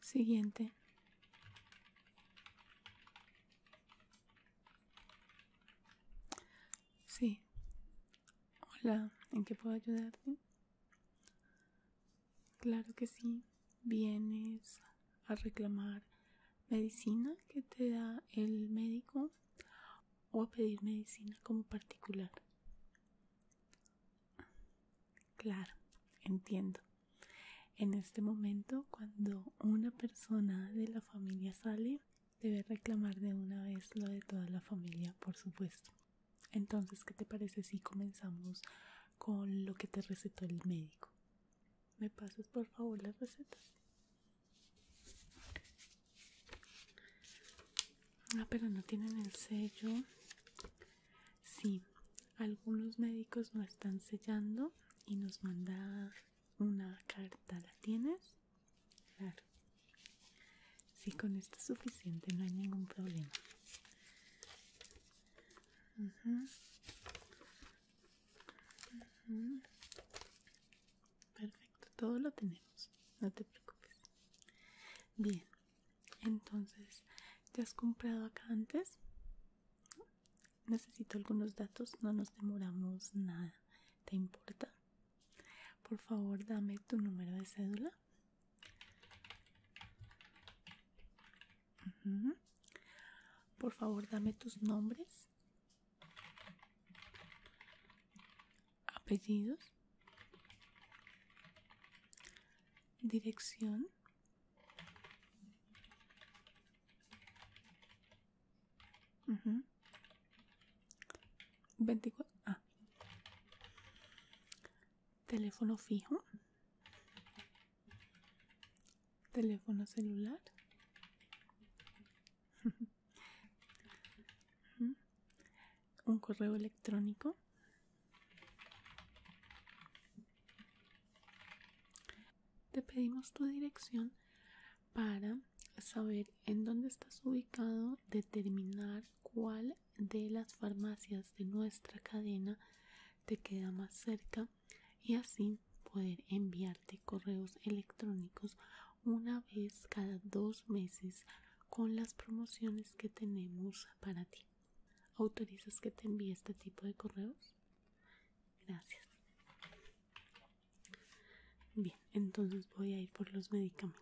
Siguiente. Sí. Hola, ¿en qué puedo ayudarte? Claro que sí, vienes a reclamar medicina que te da el médico o a pedir medicina como particular. Claro, entiendo. En este momento, cuando una persona de la familia sale, debe reclamar de una vez lo de toda la familia, por supuesto. Entonces, ¿qué te parece si comenzamos con lo que te recetó el médico? ¿Me pasas por favor la receta? Ah, pero no tienen el sello. Sí, algunos médicos no están sellando y nos manda una carta. ¿La tienes? Claro. Si con esto es suficiente, no hay ningún problema. Perfecto, todo lo tenemos, no te preocupes. Bien, entonces, ¿te has comprado acá antes? Necesito algunos datos, no nos demoramos nada. ¿Te importa? Por favor, dame tu número de cédula. Por favor, dame tus nombres. Apellidos. Dirección. 24. Ah. Teléfono fijo. Teléfono celular. Un correo electrónico. Te pedimos tu dirección para saber en dónde estás ubicado, determinar cuál de las farmacias de nuestra cadena te queda más cerca y así poder enviarte correos electrónicos una vez cada dos meses con las promociones que tenemos para ti. ¿Autorizas que te envíe este tipo de correos? Gracias. Bien, entonces voy a ir por los medicamentos.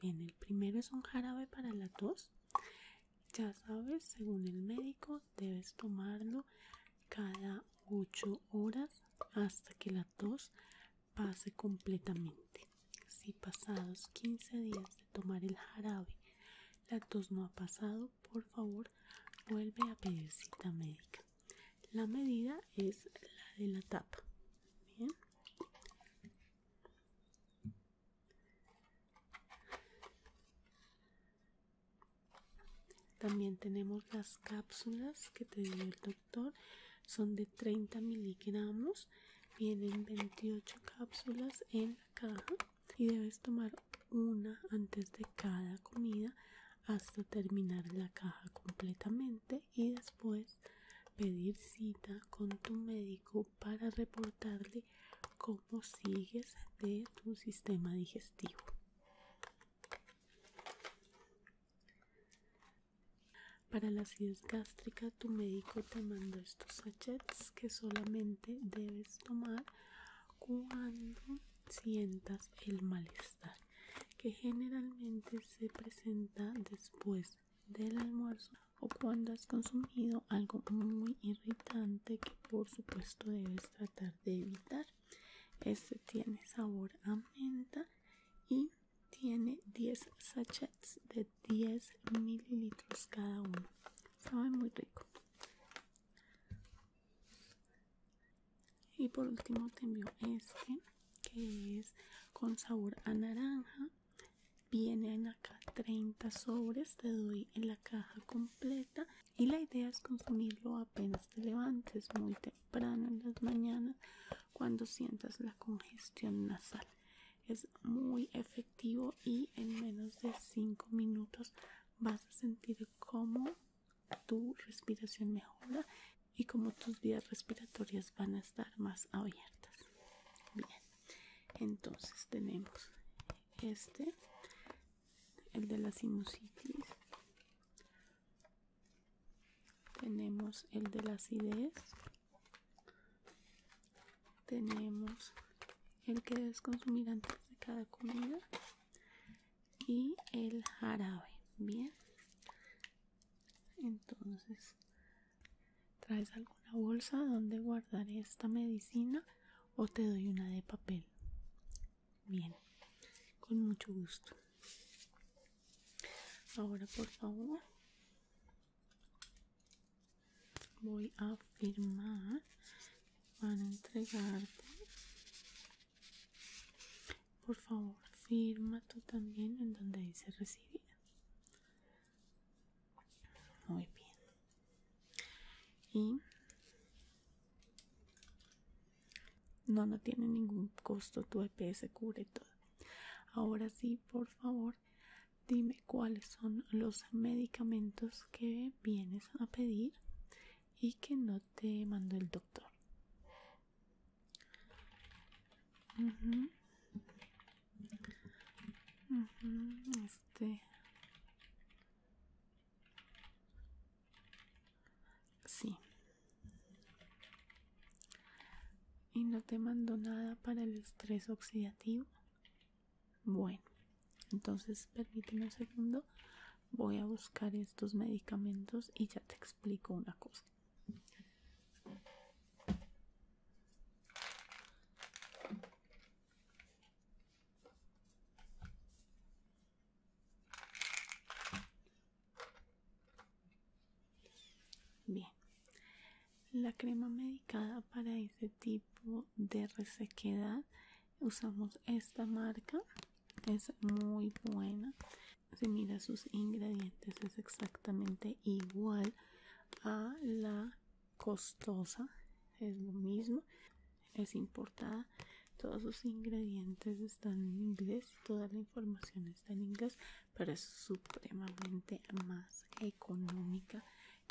Bien, el primero es un jarabe para la tos. Ya sabes, según el médico, debes tomarlo cada 8 horas hasta que la tos pase completamente. Si pasados 15 días de tomar el jarabe la tos no ha pasado, por favor, vuelve a pedir cita médica. La medida es la de la tapa. Bien. También tenemos las cápsulas que te dio el doctor. Son de 30 miligramos. Vienen 28 cápsulas en la caja y debes tomar una antes de cada comida hasta terminar la caja completamente y después pedir cita con tu médico para reportarle cómo sigues de tu sistema digestivo. Para la acidez gástrica tu médico te manda estos sachets que solamente debes tomar cuando sientas el malestar que generalmente se presenta después del almuerzo o cuando has consumido algo muy irritante que por supuesto debes tratar de evitar. Este tiene sabor a menta y tiene 10 sachets de 10 mililitros cada uno. Sabe muy rico. Y por último te envío este que es con sabor a naranja vienen acá 30 sobres te doy en la caja completa y la idea es consumirlo apenas te levantes muy temprano en las mañanas cuando sientas la congestión nasal es muy efectivo y en menos de 5 minutos vas a sentir cómo tu respiración mejora y como tus vías respiratorias van a estar más abiertas bien entonces tenemos este el de la sinusitis tenemos el de la acidez tenemos el que es consumir antes de cada comida y el jarabe bien entonces traes alguna bolsa donde guardar esta medicina o te doy una de papel bien con mucho gusto ahora por favor voy a firmar van a entregarte por favor, firma tú también en donde dice recibida. Muy bien. Y no, no tiene ningún costo. Tu EPS cubre todo. Ahora sí, por favor, dime cuáles son los medicamentos que vienes a pedir y que no te mandó el doctor. Este. Sí. Y no te mando nada para el estrés oxidativo. Bueno, entonces permíteme un segundo voy a buscar estos medicamentos y ya te explico una cosa Bien, la crema medicada para ese tipo de resequedad usamos esta marca es muy buena si mira sus ingredientes es exactamente igual a la costosa es lo mismo es importada todos sus ingredientes están en inglés toda la información está en inglés pero es supremamente más económica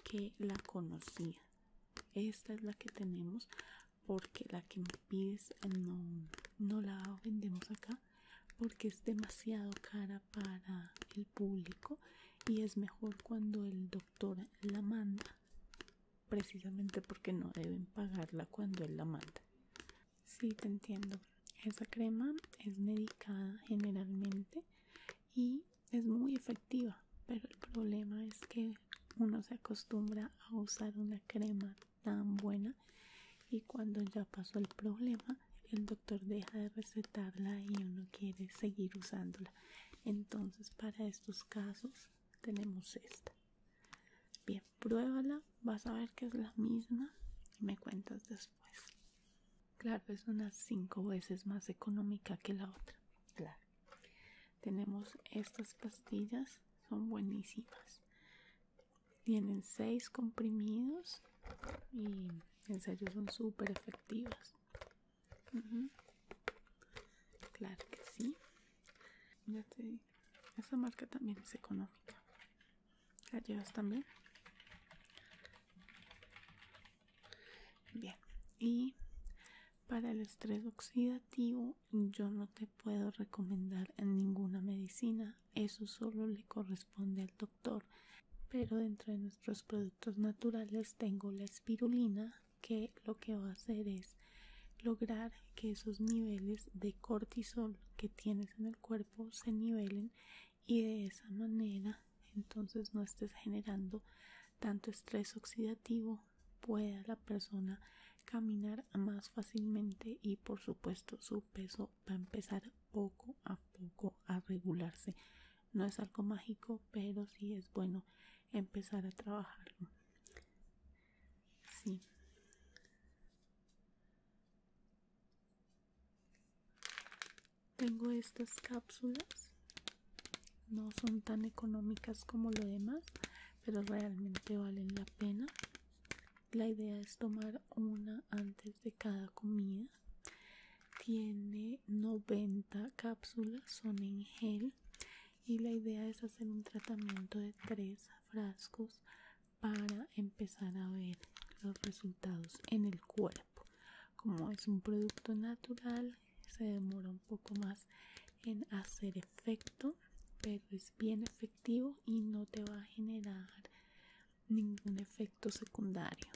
que la conocía esta es la que tenemos porque la que me pides eh, no, no la vendemos acá porque es demasiado cara para el público y es mejor cuando el doctor la manda precisamente porque no deben pagarla cuando él la manda si sí, te entiendo esa crema es medicada generalmente y es muy efectiva pero el problema es que uno se acostumbra a usar una crema tan buena y cuando ya pasó el problema el doctor deja de recetarla y uno quiere seguir usándola entonces para estos casos tenemos esta bien pruébala vas a ver que es la misma y me cuentas después claro es unas cinco veces más económica que la otra claro tenemos estas pastillas, son buenísimas. Tienen 6 comprimidos y ensayos son súper efectivas. Claro que sí. esa Esta marca también es económica. ¿La también? Bien. Y para el estrés oxidativo yo no te puedo recomendar ninguna medicina, eso solo le corresponde al doctor. Pero dentro de nuestros productos naturales tengo la espirulina que lo que va a hacer es lograr que esos niveles de cortisol que tienes en el cuerpo se nivelen y de esa manera entonces no estés generando tanto estrés oxidativo pueda la persona caminar más fácilmente y por supuesto su peso va a empezar poco a poco a regularse no es algo mágico pero sí es bueno empezar a trabajarlo sí tengo estas cápsulas no son tan económicas como lo demás pero realmente valen la pena la idea es tomar una antes de cada comida tiene 90 cápsulas son en gel y la idea es hacer un tratamiento de tres frascos para empezar a ver los resultados en el cuerpo como es un producto natural se demora un poco más en hacer efecto pero es bien efectivo y no te va a generar ningún efecto secundario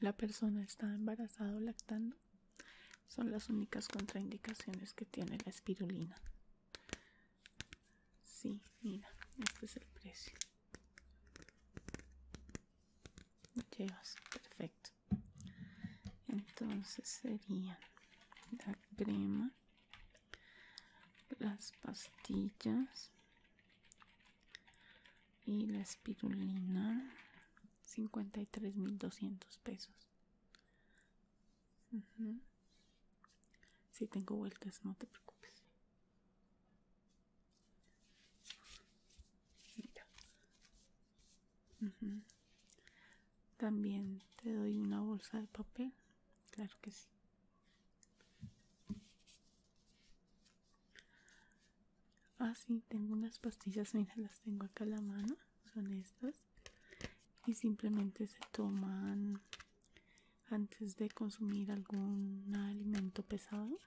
la persona está embarazada o lactando son las únicas contraindicaciones que tiene la espirulina sí mira este es el precio llevas, perfecto. Entonces sería la crema, las pastillas y la espirulina 53.200 mil doscientos pesos Si tengo vueltas, no te preocupes. También te doy una bolsa de papel. Claro que sí. Ah, sí, tengo unas pastillas, mira, las tengo acá a la mano, son estas. Y simplemente se toman antes de consumir algún alimento pesado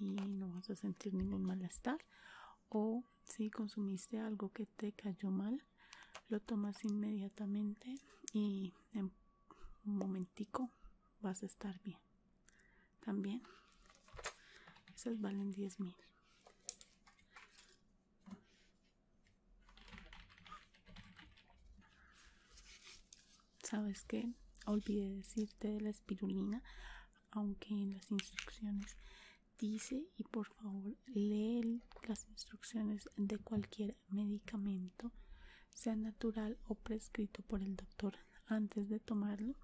y no vas a sentir ningún malestar o si consumiste algo que te cayó mal lo tomas inmediatamente y en un momentico vas a estar bien también esas valen $10,000 mil sabes que Olvide decirte de la espirulina aunque en las instrucciones dice y por favor lee las instrucciones de cualquier medicamento sea natural o prescrito por el doctor antes de tomarlo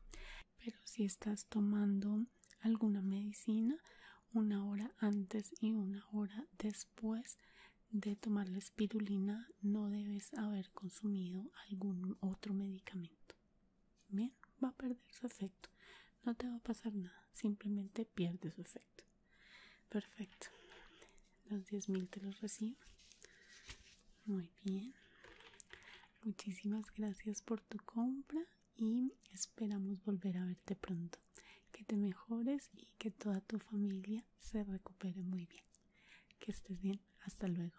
pero si estás tomando alguna medicina una hora antes y una hora después después de tomar la espirulina no debes haber consumido algún otro medicamento. Bien, va a perder su efecto. No te va a pasar nada, simplemente pierde su efecto. Perfecto. Los 10.000 te los recibo. Muy bien. Muchísimas gracias por tu compra y esperamos volver a verte pronto. Que te mejores y que toda tu familia se recupere muy bien. Que estés bien. Hasta luego.